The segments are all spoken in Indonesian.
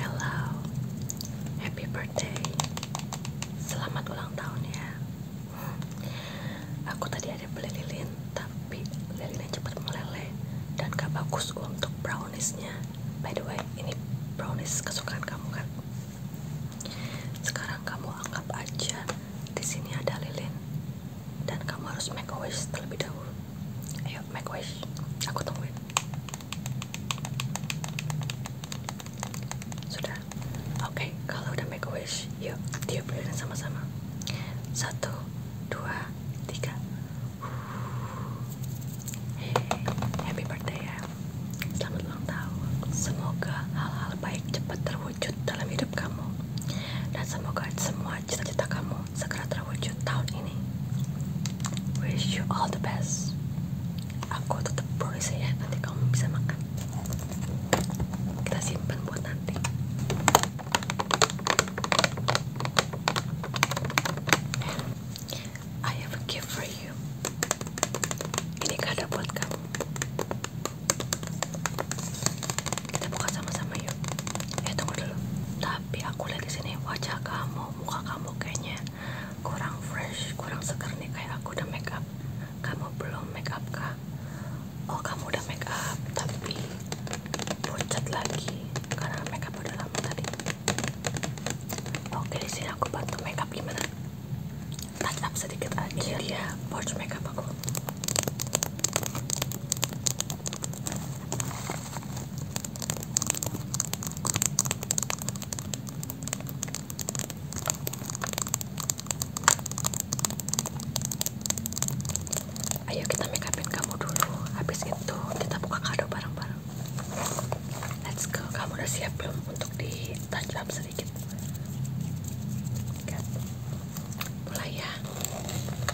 Hello, happy birthday. Selamat ulang tahun ya. Aku tadi ada beli lilin, tapi lilinnya cepat meleleh dan gak bagus untuk browniesnya. By the way, ini brownies kesukaan kamu kan? Sekarang kamu anggap aja di sini ada lilin dan kamu harus make wish terlebih dahulu. Ayo, make wish. Aku tungguin. Sudah. Oke, kalau udah make wish, yuk tiup lilin sama-sama. Satu, dua, tiga. Hey, happy birthday ya. Selamat ulang tahun. Semoga hal-hal baik cepat terwujud dalam hidup kamu. Dan semoga semua cita-cita kamu Sagrada Rawood Town ini Wish you all the best Aku tetap produce ya Nanti kamu bisa makan Kita simpan buat nanti I have a gift for you Ini kado buat kamu kita buka sama-sama yuk eh tunggu dulu tapi aku lihat di sini wajah kamu muka kamu kayaknya kurang fresh kurang seger nih kayak aku udah make up kamu belum make up kah oh kamu udah make up tapi pucat lagi karena make up udah lama tadi oke di sini aku bantu make up gimana touch up sedikit aja iya, iya. ini dia pouch make up aku Ayo kita make upin kamu dulu. Habis itu kita buka kado bareng-bareng. Let's go. Kamu udah siap belum untuk di touch up sedikit? Mulai ya.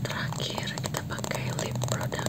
Terakhir kita pakai lip produk.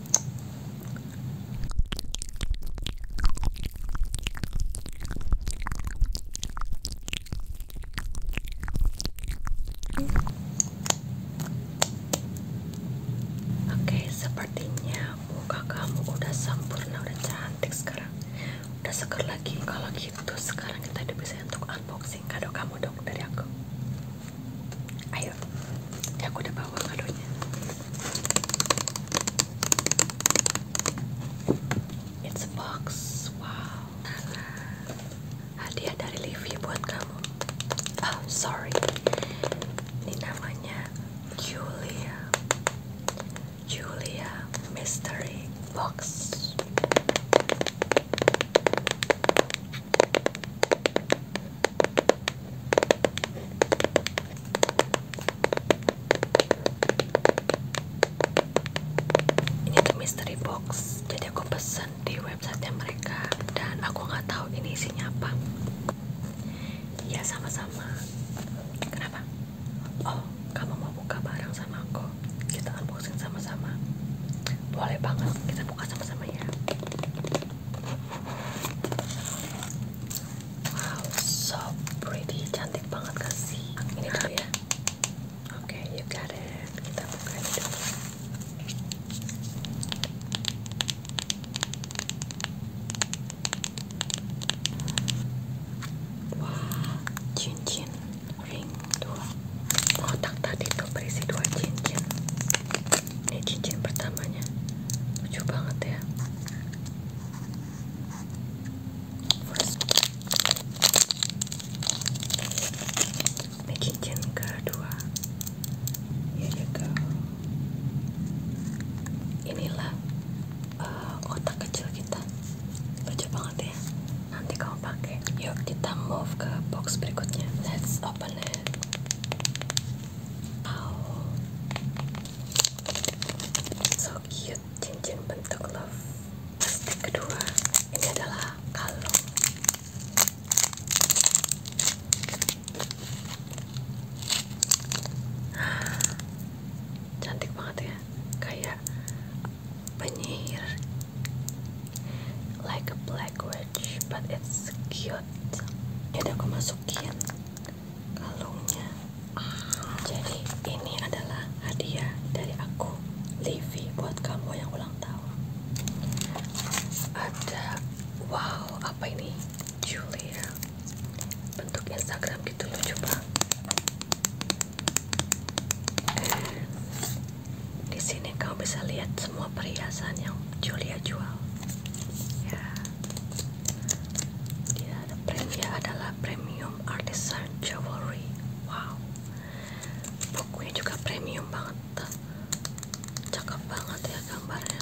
Oke, sepertinya muka kamu udah sempurna, udah cantik sekarang. Udah seger lagi. Kalau gitu, sekarang kita udah bisa untuk unboxing kado kamu dong dari aku. Ayo, ya, aku udah bawa kadonya. It's box, wow. Hadiah dari Livi buat kamu. Oh, sorry. Ini namanya Julia. Julia Mystery Box ini tuh mystery box jadi aku pesen di websitenya mereka dan aku nggak tahu ini isinya apa ya sama-sama kenapa oh kamu mau buka barang sama aku kita unboxing sama-sama boleh banget kita buka sama-sama ya wow so pretty cantik banget kan sih ini dulu ya oke you got it kita buka Wah, cincin ring dua otak tadi tuh berisi dua cincin ini cincin pertamanya lucu banget ya First. ini cincin kedua ya juga inilah uh, kecil kita lucu banget ya nanti kamu pakai yuk kita move ke box berikutnya let's open it oh so cute cincin bentuk love plastik kedua ini adalah kalung cantik banget ya kayak penyihir like a black witch but it's cute Ini aku masukin kalungnya jadi ini adalah hadiah dari aku Levi buat kamu yang ulang tahun ada wow apa ini Julia bentuk Instagram gitu lucu banget di sini kamu bisa lihat semua perhiasan yang Julia jual. Ya. Dia ada premium adalah premium artisan jewelry. Wow. Bukunya juga premium banget. Cakep banget ya gambarnya.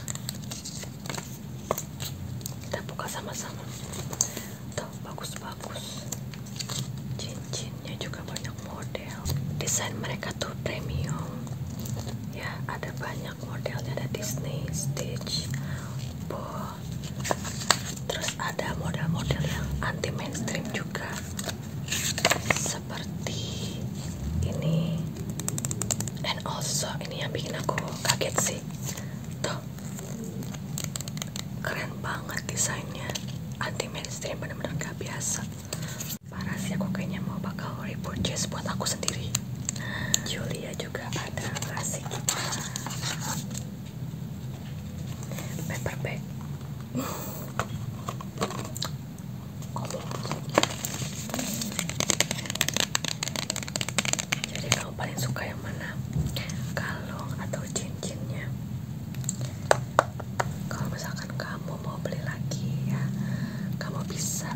Kita buka sama-sama tuh bagus-bagus cincinnya juga banyak model desain mereka tuh premium ya ada banyak modelnya ada Disney, Stitch, Bo terus ada model-model yang anti mainstream juga seperti ini and also ini yang bikin aku kaget sih keren banget desainnya anti mainstream bener-bener gak biasa parah sih aku kayaknya mau bakal repurchase buat aku sendiri Julia juga ada ngasih kita paper bag jadi kamu paling suka yang mana? Kalung atau cincinnya? Kalau misalkan kamu mau beli lagi ya, kamu bisa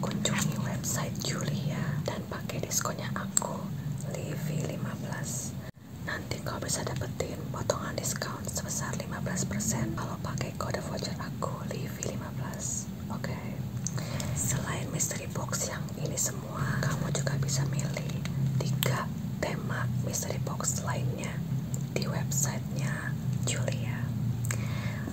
kunjungi website Julia dan pakai diskonnya aku, Livi 15. Nanti kau bisa dapetin potongan diskon sebesar 15% kalau pakai kode voucher aku Livi 15. Oke. Selain mystery box yang ini semua semua, kamu juga bisa milih tiga tema mystery box lainnya di websitenya Julia.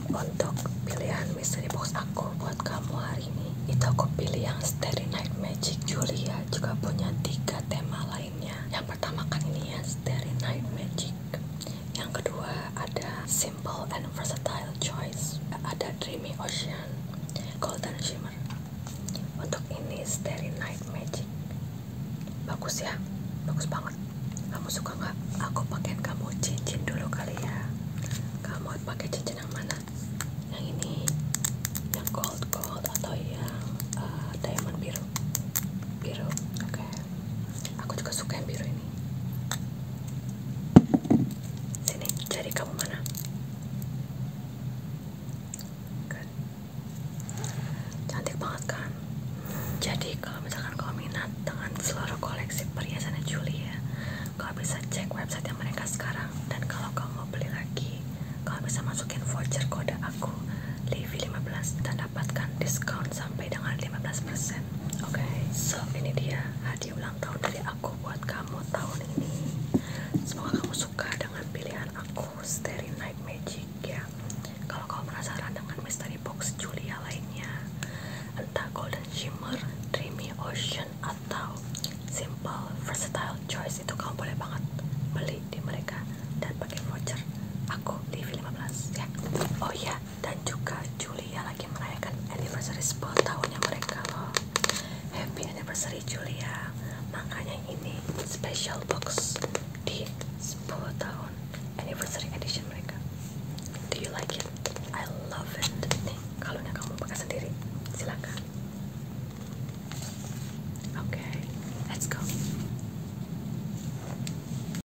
Untuk pilihan mystery box aku buat kamu hari ini, itu aku pilih yang Starry Night Magic. Julia juga punya tiga tema lainnya. Yang pertama kan ini ya Starry Night Magic. Yang kedua ada simple and versatile choice. Ada Dreamy Ocean Shimmer. Untuk ini Night Magic. Bagus ya, bagus banget. Kamu suka nggak? Aku pakaiin kamu cincin dulu kali ya. Kamu pakai cincin yang mana? Yang ini, yang gold gold atau yang eh, diamond biru? Biru, oke. Aku juga suka yang biru ini. Sini, jari kamu mana? Cantik banget kan? Jadi kalau misalkan kamu minat dengan seluruh koleksi perhiasannya Julia, kau bisa cek website yang mereka sekarang. Dan kalau kamu mau beli lagi, kau bisa masukin voucher kode aku Livi15 dan dapatkan diskon sampai dengan 15%. Oke, so ini dia diulang tahun dari aku buat kamu tahun ini. Semoga kamu suka dengan pilihan aku Starry Night Magic ya. Kalau kamu penasaran dengan mystery box Julia lainnya, entah Golden Shimmer, Dreamy Ocean atau Simple Versatile Choice itu kamu boleh banget beli di mereka dan pakai voucher aku di 15 ya. Oh ya, dan juga Julia lagi merayakan anniversary 10 tahunnya mereka loh happy anniversary Julia makanya ini special box di 10 tahun anniversary edition mereka do you like it? I love it nih kalau kamu pakai sendiri silakan oke let's go